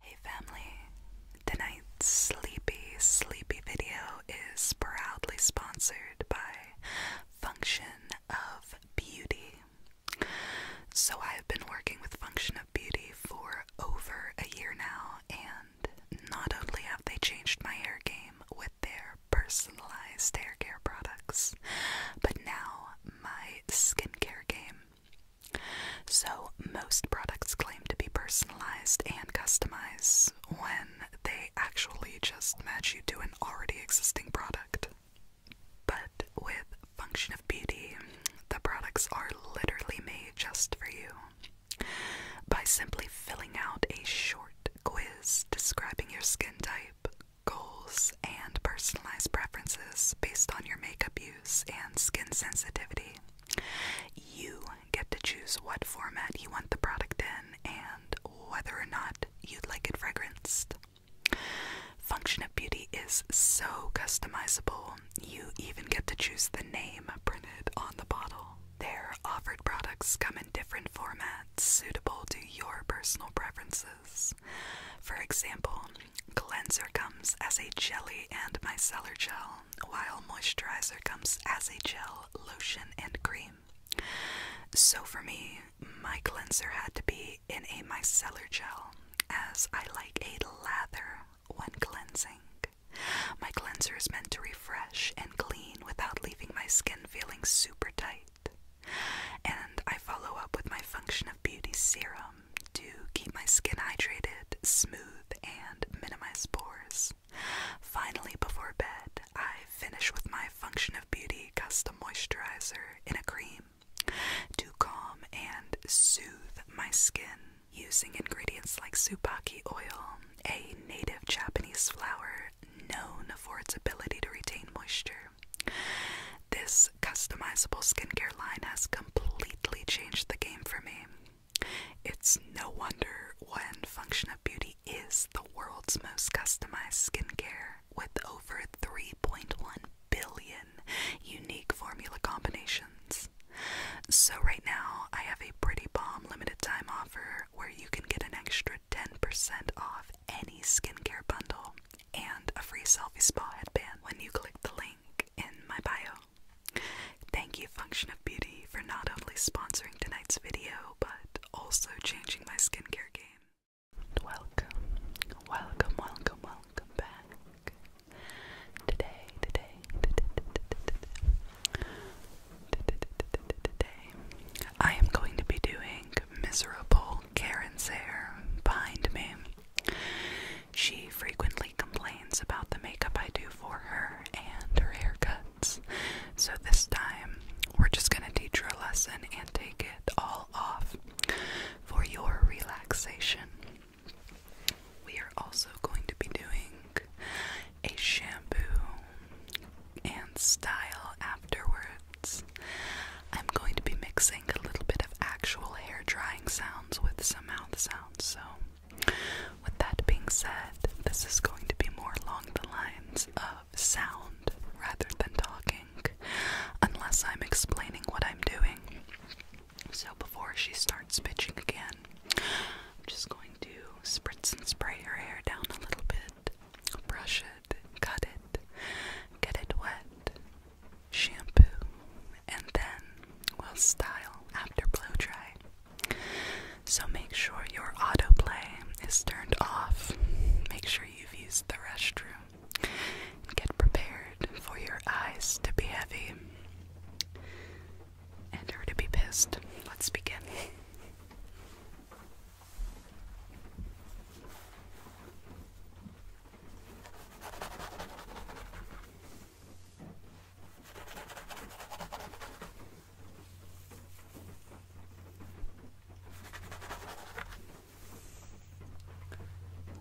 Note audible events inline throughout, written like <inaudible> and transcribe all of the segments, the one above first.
Hey family, tonight's sleepy, sleepy video is proudly sponsored by Function of Beauty. So, I've been working with Function of Beauty for over a year now, and not only have they changed my hair game with their personalized hair care products, but now my skincare game. So, most products claim to be personalized and customized when they actually just match you to an already existing product. But with Function of Beauty, the products are literally made just for you. By simply filling out a short quiz describing your skin type, goals, and personalized preferences based on your makeup use and skin sensitivity. You get to choose what format you want the product in and whether or not you'd like it fragranced. Function of Beauty is so customizable, you even get to choose the name printed on the bottle. Their offered products come in different formats suitable to your personal preferences. For example, Cleanser comes as a jelly and micellar gel, while moisturizer comes as a gel, lotion, and cream. So for me, my cleanser had to be in a micellar gel, as I like a lather when cleansing. My cleanser is meant to refresh and clean without leaving my skin feeling super tight. And I follow up with my Function of Beauty serum, um, to keep my skin hydrated, smooth, and minimize pores. Finally, before bed, I finish with my Function of Beauty custom moisturizer in a cream to calm and soothe my skin using ingredients like supaki oil, a native Japanese flower known for its ability to retain moisture. This customizable skincare line has completely changed the game for me. It's no wonder when Function of Beauty is the world's most customized skincare with over 3.1 billion unique formula combinations. So, right now, I have a pretty bomb limited time offer where you can get an extra 10% off any skincare bundle and a free selfie spa headband when you click the link link in my bio. Thank you, Function of Beauty, for not only sponsoring tonight's video, but also changing my skincare game. Welcome, welcome, welcome, welcome back. Today, today, today, today, today, I am going to be doing Miserable Karen's Hair behind me. She frequently complains about the makeup I do for her and her haircuts. So this time, we're just going to teach her a lesson and take it all off for your relaxation. We are also going to be doing a shampoo and style afterwards. I'm going to be mixing a little bit of actual hair drying sounds with some mouth sounds. So, with that being said, this is going to be more along the lines of sound rather than talking, unless I'm explaining what I'm doing. So, before she starts pitching again, I'm just going to spritz and spray her hair down a little bit, brush it, cut it, get it wet, shampoo, and then we'll style after blow dry. So make sure your autoplay is turned off. Make sure you've used the restroom. Get prepared for your eyes to be heavy and her to be pissed. Let's begin.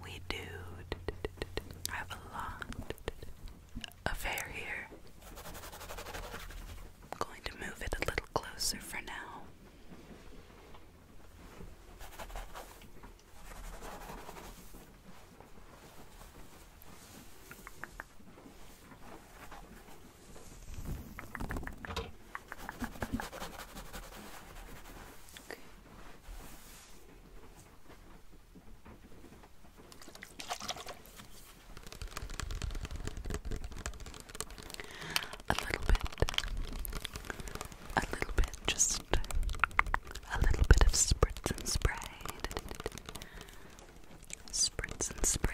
We do have a lot of hair here. I'm going to move it a little closer for now. Okay. A little bit a little bit, just a little bit of spritz and spray. Spritz and spray.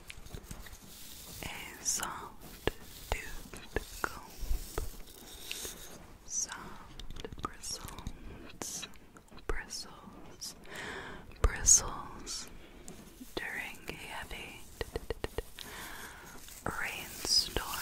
é soft tooth comb, soft bristles, bristles, bristles during a heavy rainstorm.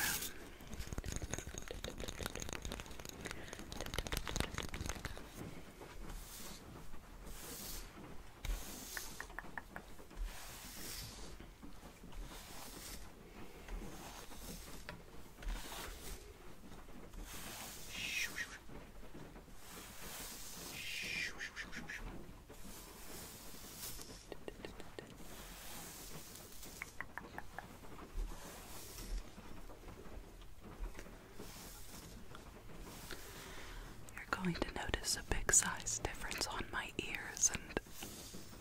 You're going to notice a big size difference on my ears and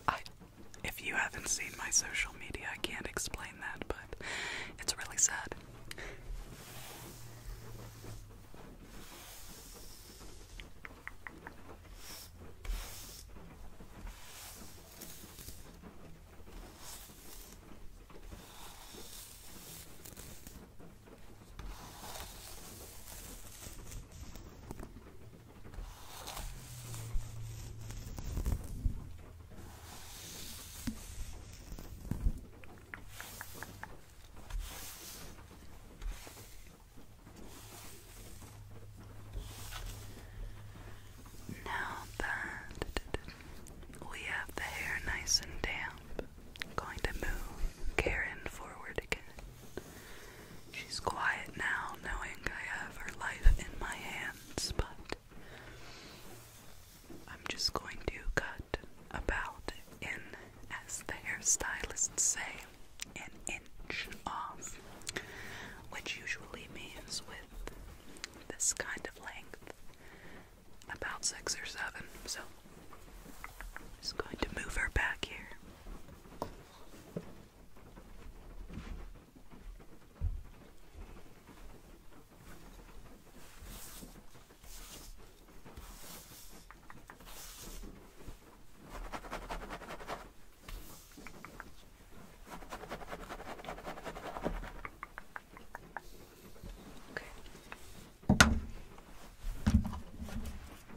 I if you haven't seen my social media, I can't explain that, but it's really sad. Now that we have the hair nice and damp, going to move Karen forward again. She's quiet now, knowing I have her life in my hands, but I'm just going to cut about in, as the hairstylists say, an inch off, which usually means with this kind of length about six or seven, so just going to move her back here. Okay.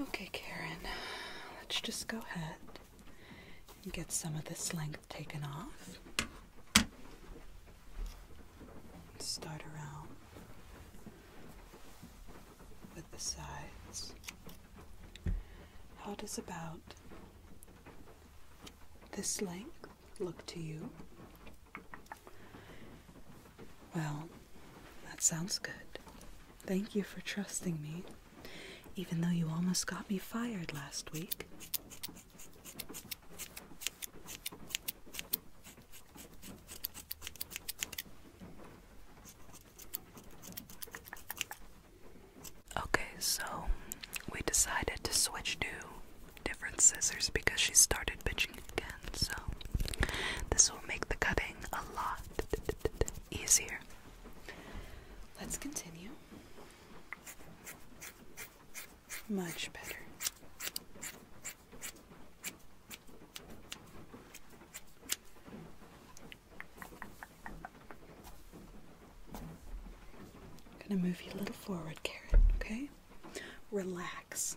Okay, Karen, let's just go ahead and get some of this length taken off. Start around with the sides. How does about this length look to you? Well, that sounds good. Thank you for trusting me, even though you almost got me fired last week. Okay, so we decided to switch to different scissors because she started bitching again so this will make the cutting a lot easier. Let's continue. Much better. I'm going to move you a little forward, Carrot, okay? Relax.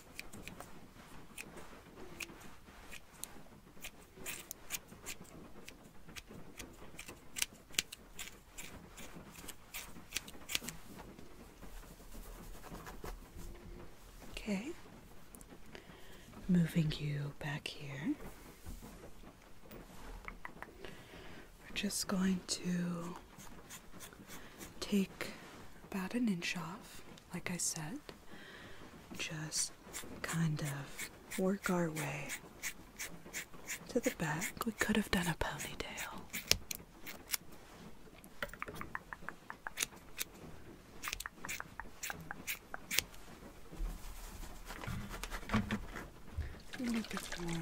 Okay, moving you back here. We're just going to take about an inch off, like I said just kind of work our way to the back. We could have done a ponytail. A little bit more.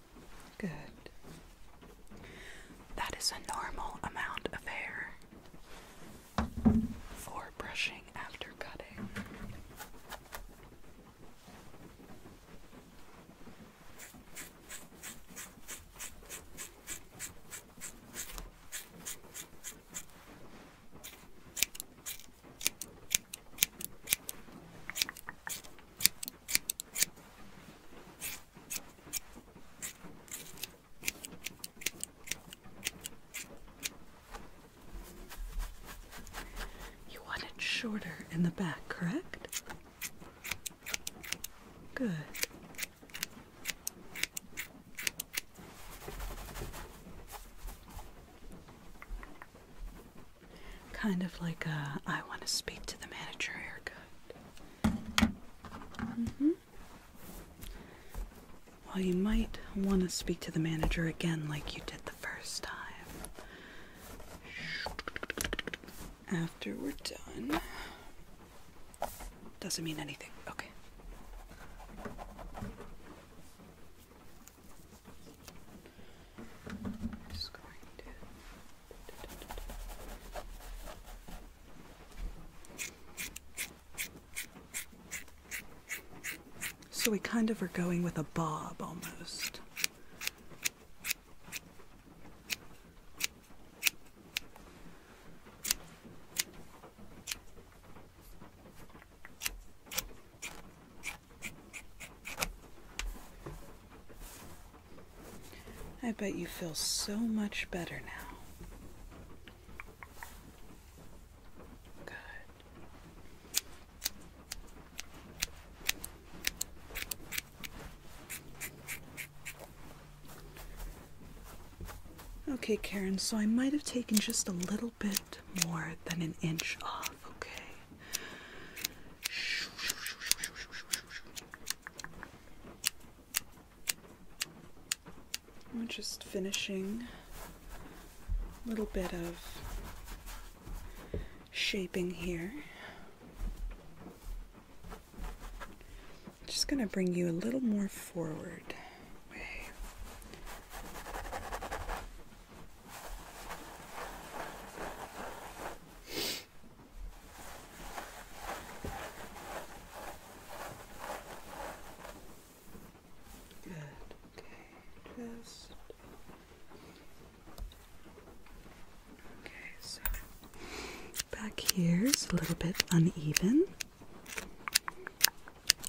Good. That is a normal amount of hair for brushing after cutting. You want it shorter in the back, correct? Good. Kind of like I want to speak to the manager haircut. Mm-hmm. Well, you might want to speak to the manager again like you did the first time. After we're done. Doesn't mean anything. Okay. So we kind of are going with a bob almost. I bet you feel so much better now. Good. Okay, Karen, so I might have taken just a little bit more than an inch off okay? We're just finishing a little bit of shaping here. Just going to bring you a little more forward. Okay. Just Okay, so back here is a little bit uneven.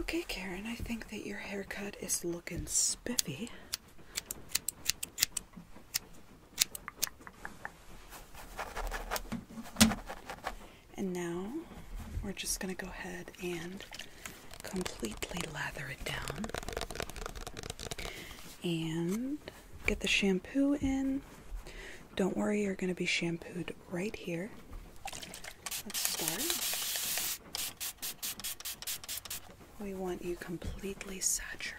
Okay, Karen, I think that your haircut is looking spiffy. And now we're just going to go ahead and completely lather it down and get the shampoo in. Don't worry, you're going to be shampooed right here. Let's start. We want you completely saturated.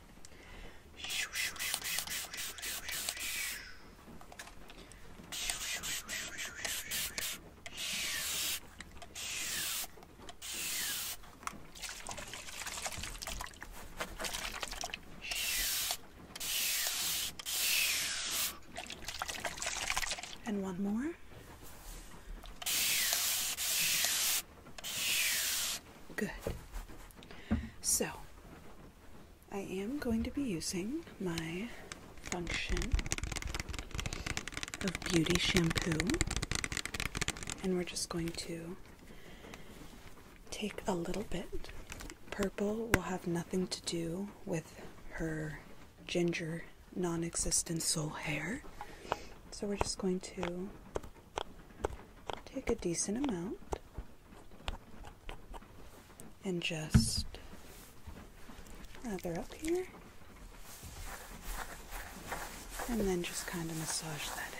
And one more. Good. So, I am going to be using my function of beauty shampoo, and we're just going to take a little bit. Purple will have nothing to do with her ginger non existent soul hair, so we're just going to Take a decent amount and just lather up here and then just kind of massage that in.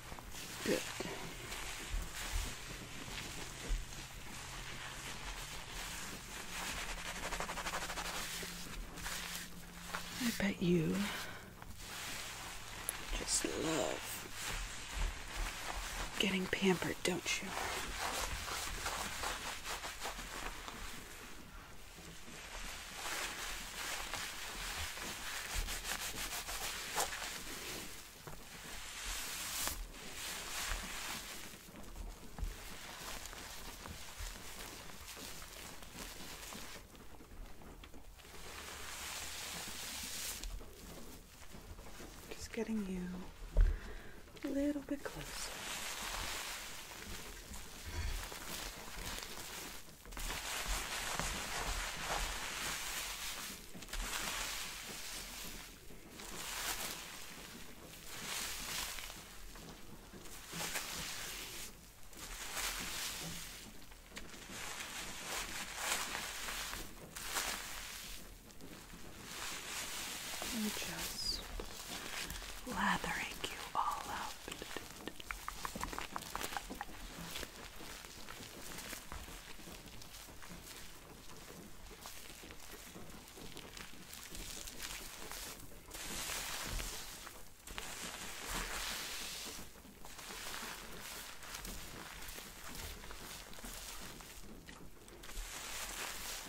Good. I bet you just love getting pampered, don't you? Just getting you a little bit closer. I'm just lathering you all up.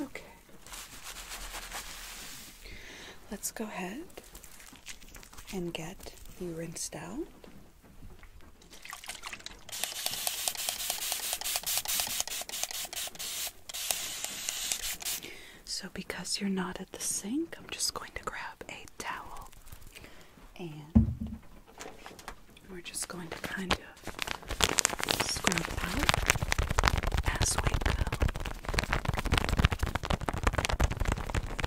Okay. Let's go ahead and get you rinsed out. So, because you're not at the sink, I'm just going to grab a towel and we're just going to kind of scrub out as we go. Okay.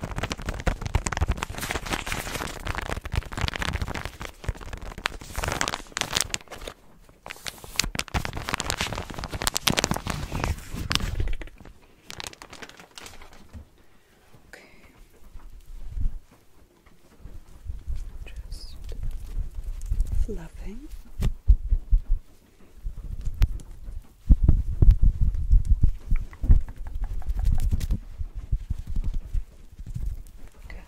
Just fluffing. Good.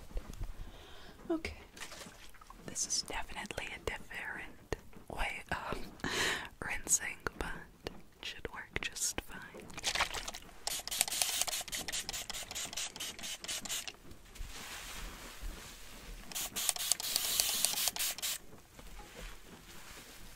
Okay. This is definitely a different way of <laughs> rinsing, but it should work just fine.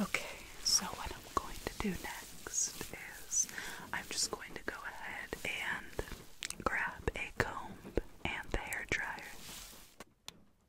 Okay, so what I'm going to do next is I'm just going to go ahead and grab a comb and the hair dryer.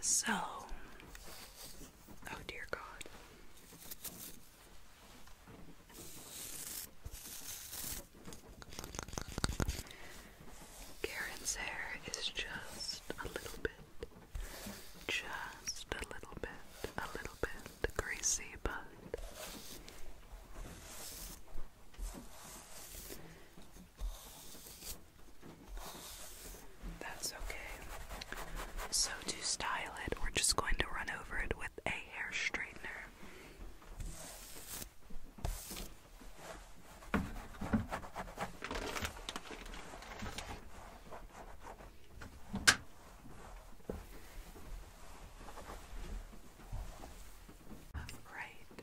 So, oh dear God. Karen's hair is just a little bit, just a little bit, a little bit greasy, but that's okay. So, to style it, we're just going to run over it with a hair straightener. Right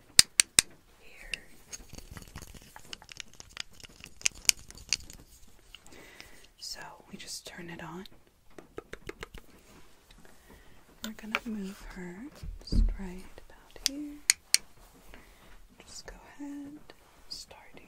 so we just turn it on. We're gonna move her just right about here. Just go ahead, start here.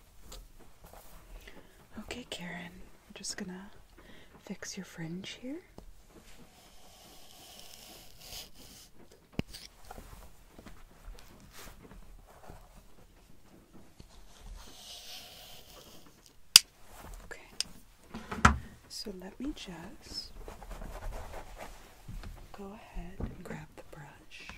Okay, Karen, I'm just gonna fix your fringe here. Okay, so let me just go ahead and grab the brush.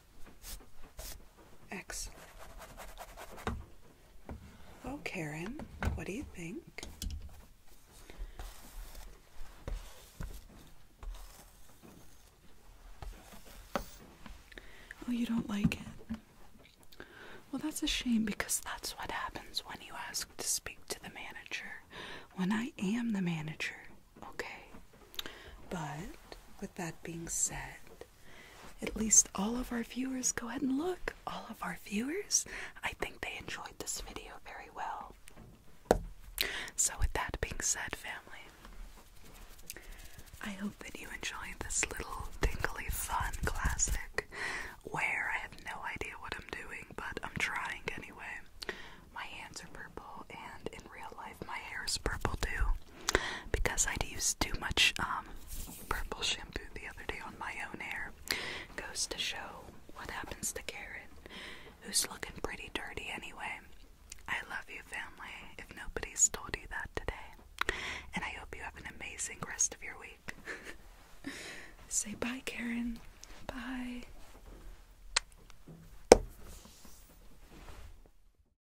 Excellent. Oh, Karen, what do you think? Oh, you don't like it? Well, that's a shame because that's what happens when you ask to speak to the manager. When I am the manager, okay? But with that being said, at least all of our viewers, go ahead and look. All of our viewers, I think they enjoyed this video very well. So, with that being said, family, I hope that you enjoyed this little tingly fun classic where I have no idea what I'm doing, but I'm trying anyway. My hands are purple, and in real life, my hair is purple too because I'd used too much um, purple shampoo the other day on my own hair. Goes to show what happens to Karen, who's looking pretty dirty anyway. I love you, family, if nobody's told you that today. And I hope you have an amazing rest of your week. <laughs> Say bye, Karen. Bye.